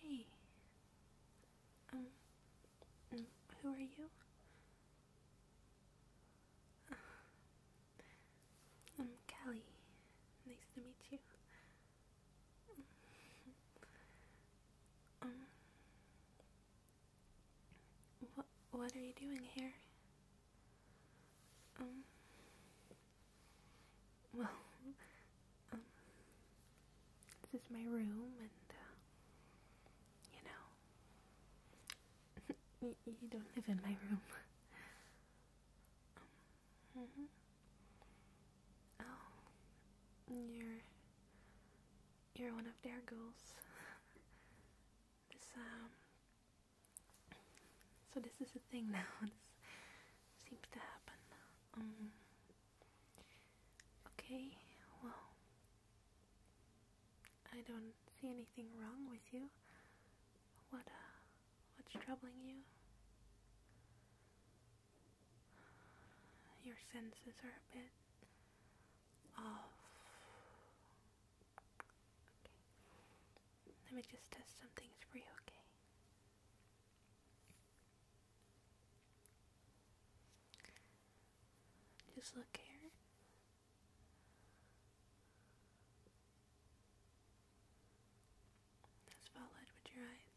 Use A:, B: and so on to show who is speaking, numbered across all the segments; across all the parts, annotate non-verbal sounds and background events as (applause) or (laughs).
A: Hey. Um, mm, who are you? Uh, I'm Kelly. Nice to meet you. Um, what what are you doing here? Um, well, um, this is my room, and, uh, you know, (laughs) you, don't live in my room. (laughs) Um, mm-hmm. Oh, you're, you're one of their girls. (laughs) this, um, so this is a thing now seems to happen. Um, okay, well, I don't see anything wrong with you. What, uh, what's troubling you? Your senses are a bit off. Let me just test something things for you, okay? Just look here. Just follow it with your eyes.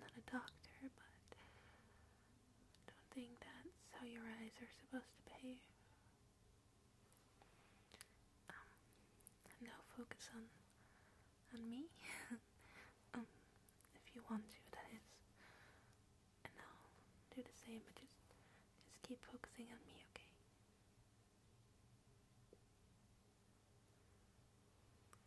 A: not a doctor, but don't think that's how your eyes are supposed to behave. Um, now focus on on me, (laughs) um, if you want to, that is. And i do the same, but just just keep focusing on me, okay?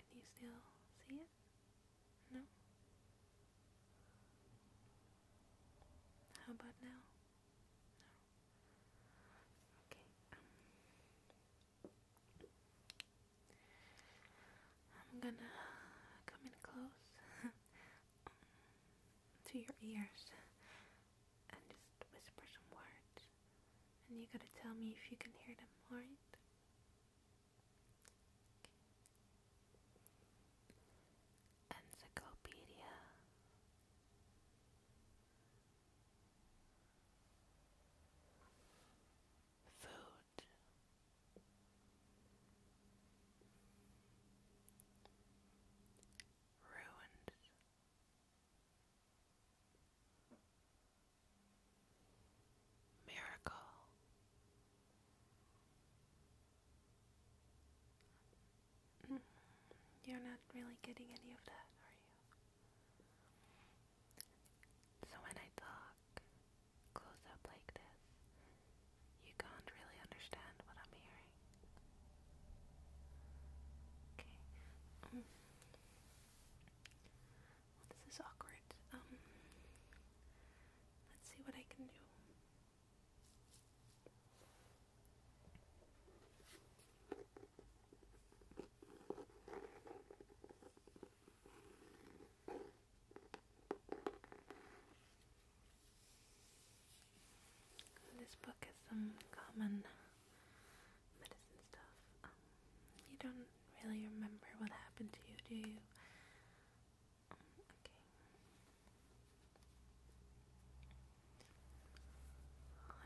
A: Can you still see it? No. How about now? Okay. Um, I'm gonna come in close (laughs) to your ears and just whisper some words, and you gotta tell me if you can hear them, alright? Encyclopedia Food Ruined Miracle Mm, you're not really getting any of that, are you? So when I talk close up like this, you can't really understand what I'm hearing. Okay. Mm. this is awkward. Um, let's see what I can do. This book is some common medicine stuff. Um, you don't really remember what happened to you, do you? Let's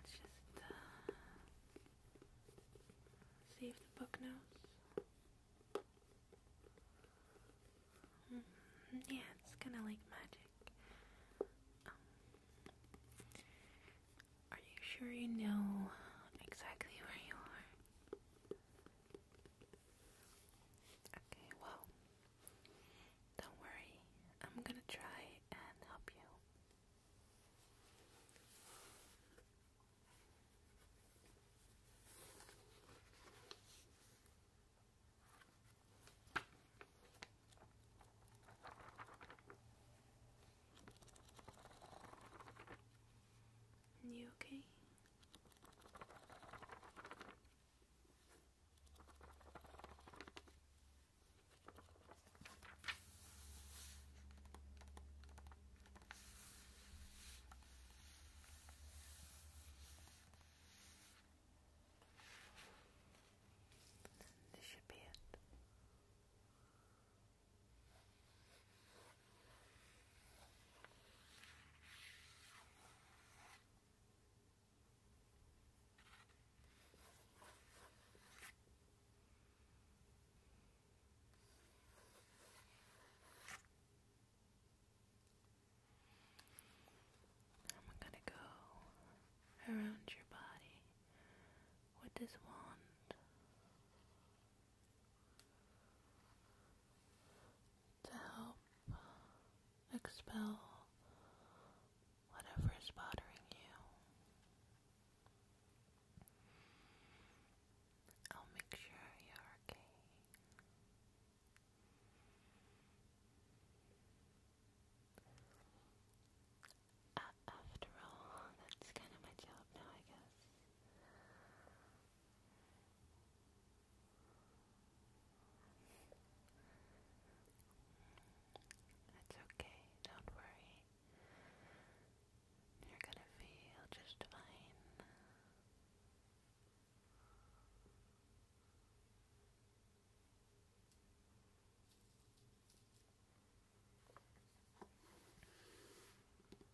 A: just uh, the book knows. Mm-hmm. yeah, it's kind of like magic. Um, are you sure you know exactly where you are? Okay, well, don't worry, I'm gonna try and help you. You okay? This should be it. I'm gonna go around your body with this wand to help expel whatever is bothering you. I'll make sure you're okay. after all, (laughs) that's kind of my job now, I guess. It's okay, don't worry. You're gonna feel just fine.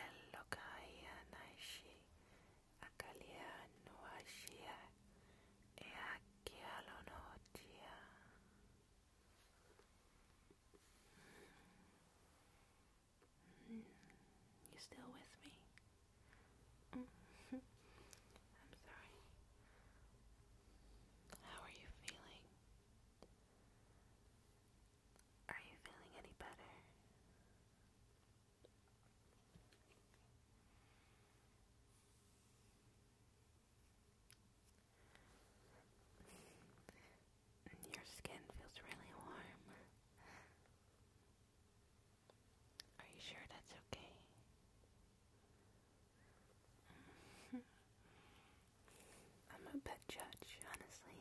A: Elokaya naishi mm. You still with me? Mm. (laughs) I'm sorry. How are you feeling? Are you feeling any better? Your skin feels really warm. Are you sure that's okay? (laughs) I'm a bad judge, honestly.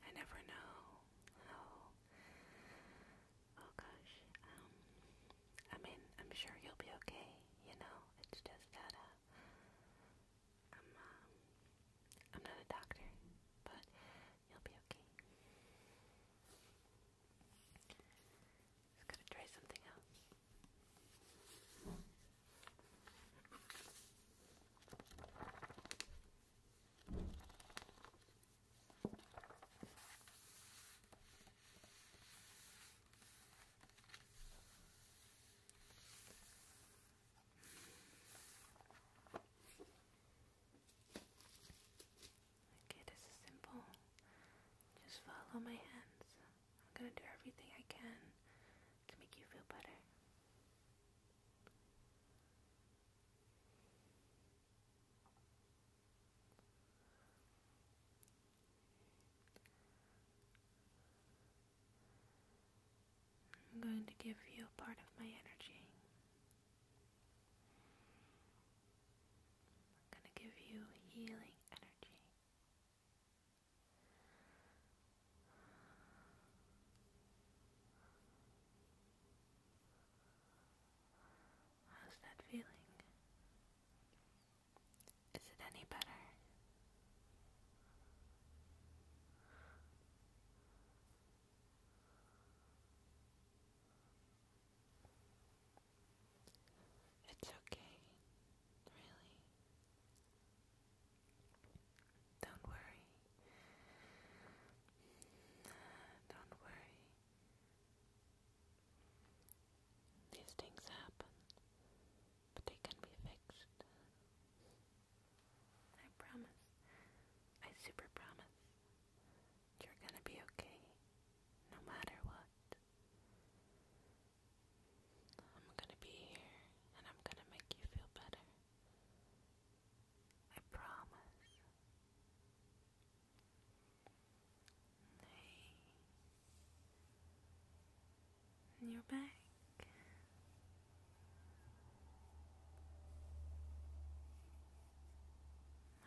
A: I never know how. Oh gosh. Um. I mean, I'm sure you'll be okay. You know, it's just that uh, I'm um, I'm not a doctor, but you'll be okay. Just gotta try something else. Okay, this is simple. Just follow my hands. I'm gonna do everything I can to make you feel better. I'm going to give you part of my energy. I'm going to give you healing energy. How's that feeling? Is it any better? It's okay, really. Don't worry. Don't worry. These things happen, but they can be fixed. I promise. I super promise. You're gonna be okay, no matter what. I'm gonna be here and I'm gonna make you feel better. I promise. Hey. And you're back.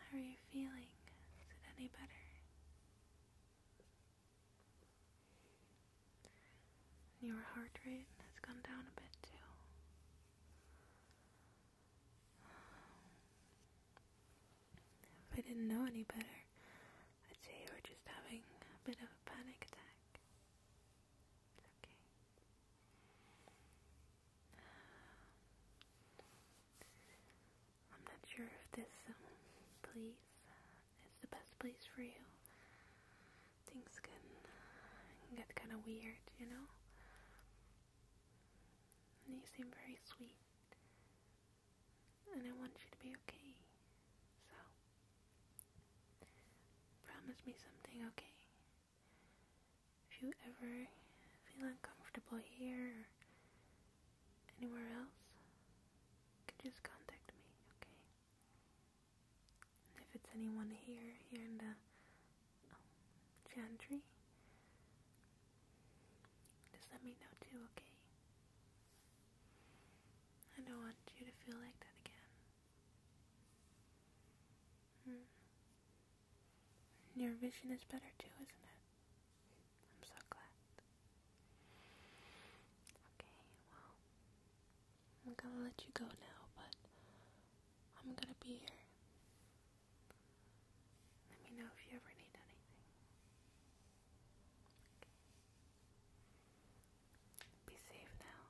A: How are you feeling? Is it any better? your heart rate has gone down a bit too. If I didn't know any better, I'd say you were just having a bit of a panic attack. It's okay. I'm not sure if this um, place uh, is the best place for you. Things can get kind of weird, you know? And you seem very sweet. And I want you to be okay. So, promise me something, okay? If you ever feel uncomfortable here, anywhere else, just contact me, okay? if it's anyone here, here in the um, just let me know too, okay? I don't want you to feel like that again. Hmm. Your vision is better too, isn't it? I'm so glad. Okay, well, I'm gonna let you go now, but I'm gonna be here. Let me know if you ever need anything. Be safe now.